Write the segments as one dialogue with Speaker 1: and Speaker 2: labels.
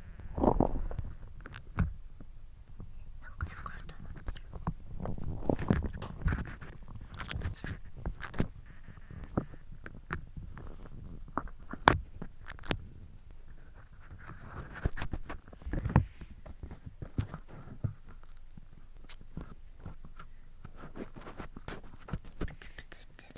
Speaker 1: なんかすごい音鳴ってる。プツプツしてる。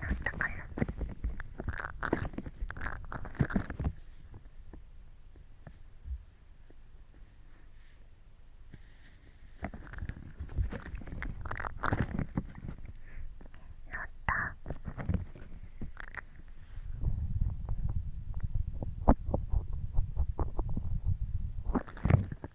Speaker 1: なったかな乗ったなんだ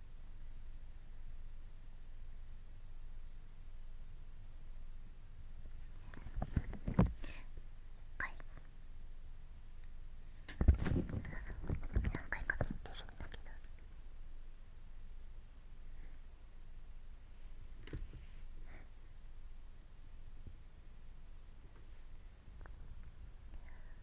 Speaker 1: 回何回か切ってるんだけど。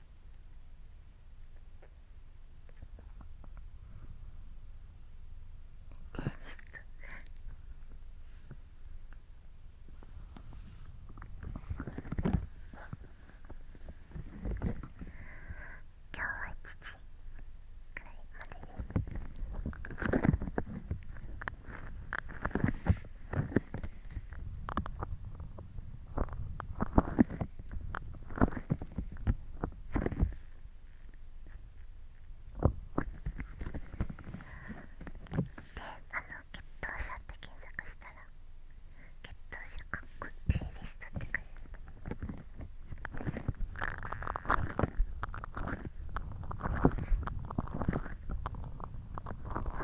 Speaker 1: テニス今日は父くらいまでです今で、あの、血糖者って検索したら血糖者かっこ注意リストって書いてあっ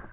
Speaker 1: た。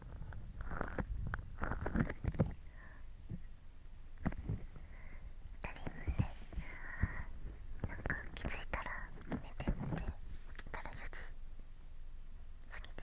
Speaker 1: なんか気づいたら寝てんできたら4つ。過ぎて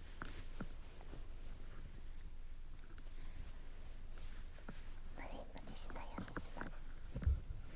Speaker 1: 無理無理しないようにします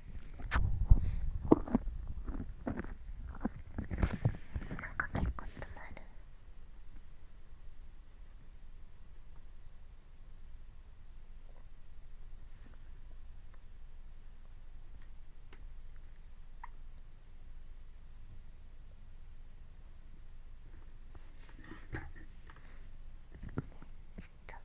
Speaker 1: なんか結構止まるちょっと。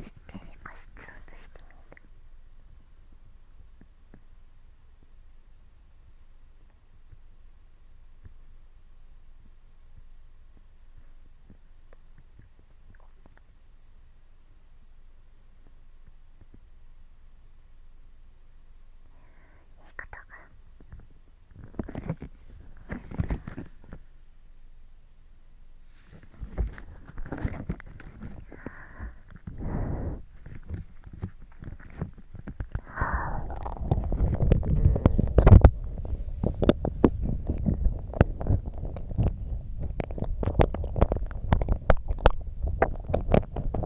Speaker 1: ステレカスツ音してい方が。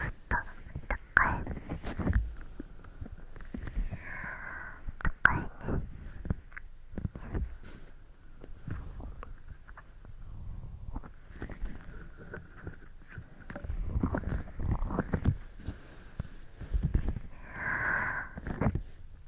Speaker 1: っと高い高いね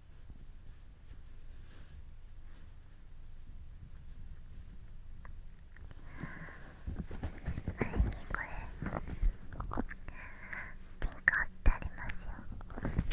Speaker 1: ピンク貼ってありますよ。み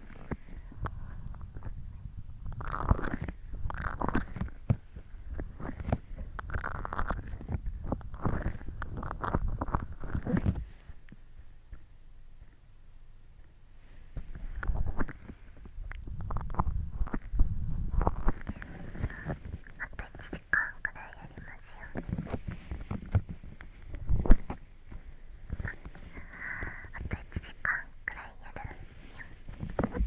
Speaker 1: あと1時間くらいやりますよ。あと1時間くらいやるに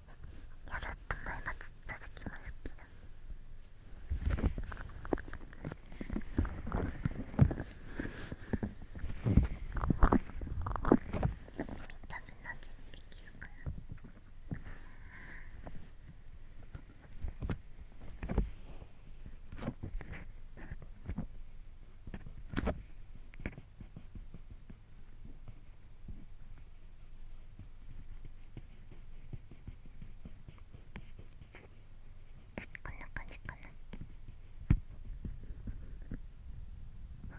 Speaker 1: よろしくお願いし続きますけど。多分なんでできるかな。こんな感じかなこ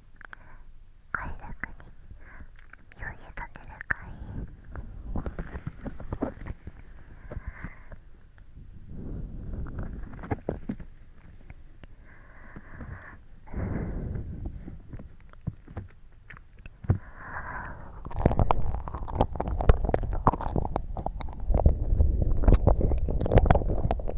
Speaker 1: 快楽に身を委ねるい？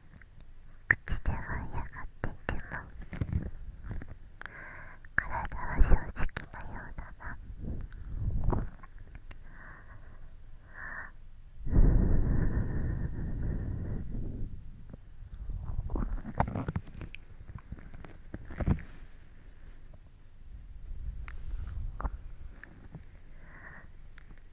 Speaker 1: 口で舞い上がっていても体は正直なようだな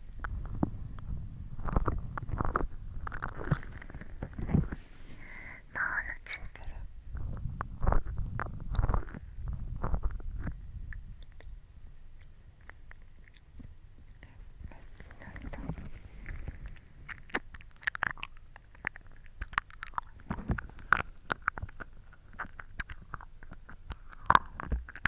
Speaker 1: ってる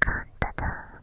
Speaker 1: カンタだ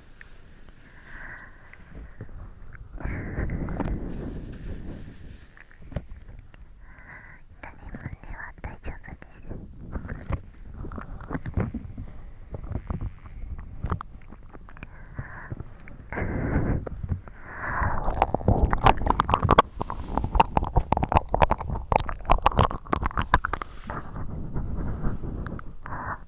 Speaker 1: は大丈夫です。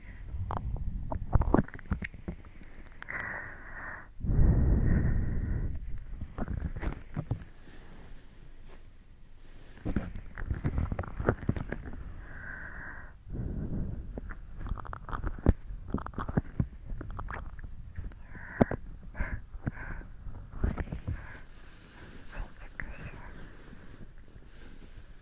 Speaker 1: 新 宿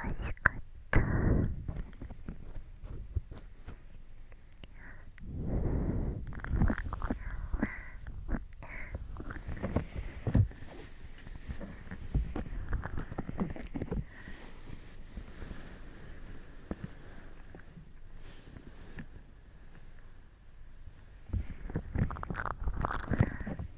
Speaker 1: おいしかった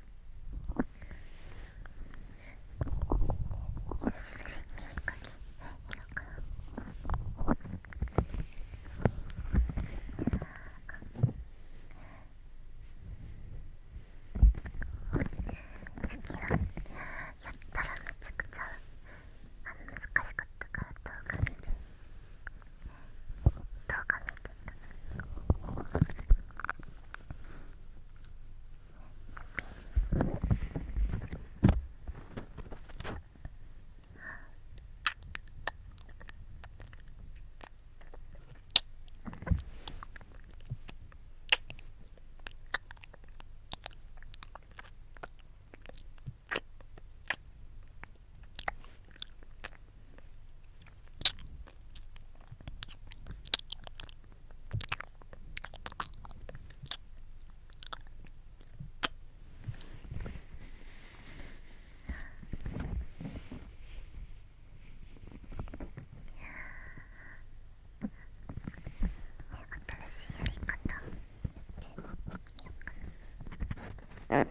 Speaker 1: しぶりにお絵かきやろうかな次はやったらめちゃくちゃあ難しかったから動画見て。どう画見てた新しいやり方でよかった。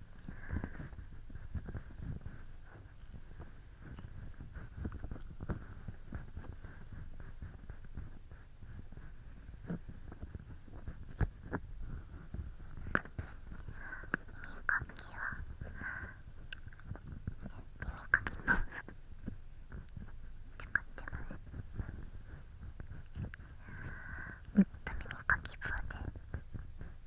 Speaker 2: 耳かきは耳かきの…使ってますずっと耳かき風で。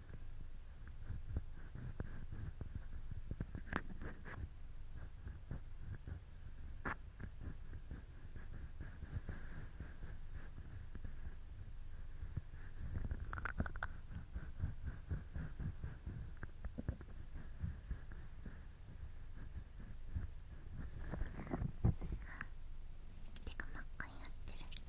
Speaker 2: 手が真っ赤になってる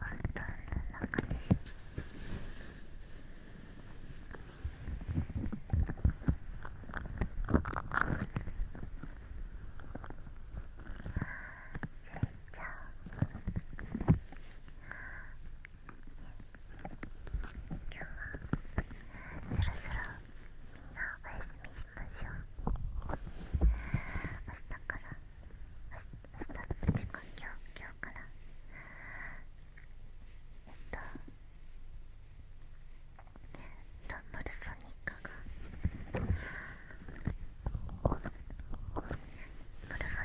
Speaker 2: 本当の中ですじゃあ今日はそろそろみんなお休みしましょう明日から明日ってか今日からえっとえっとモルフォニカがモルフォ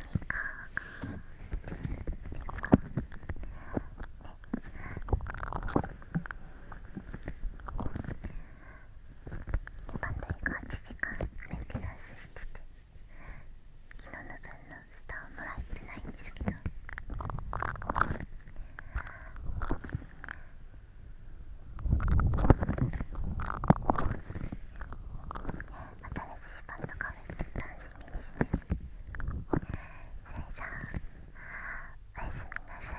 Speaker 2: ニカがね今とにか8時間メンテナンスしてて昨日の分のスターをもらえてないんですけど新しいバンドカフェ楽しみですねそれじゃあおやすみなさい。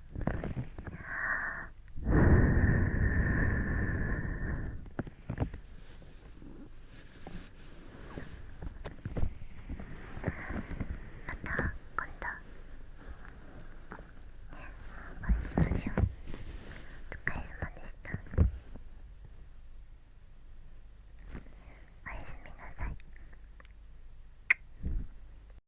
Speaker 2: あまた、今度お会いしましょうお疲れ様でしたおやすみなさい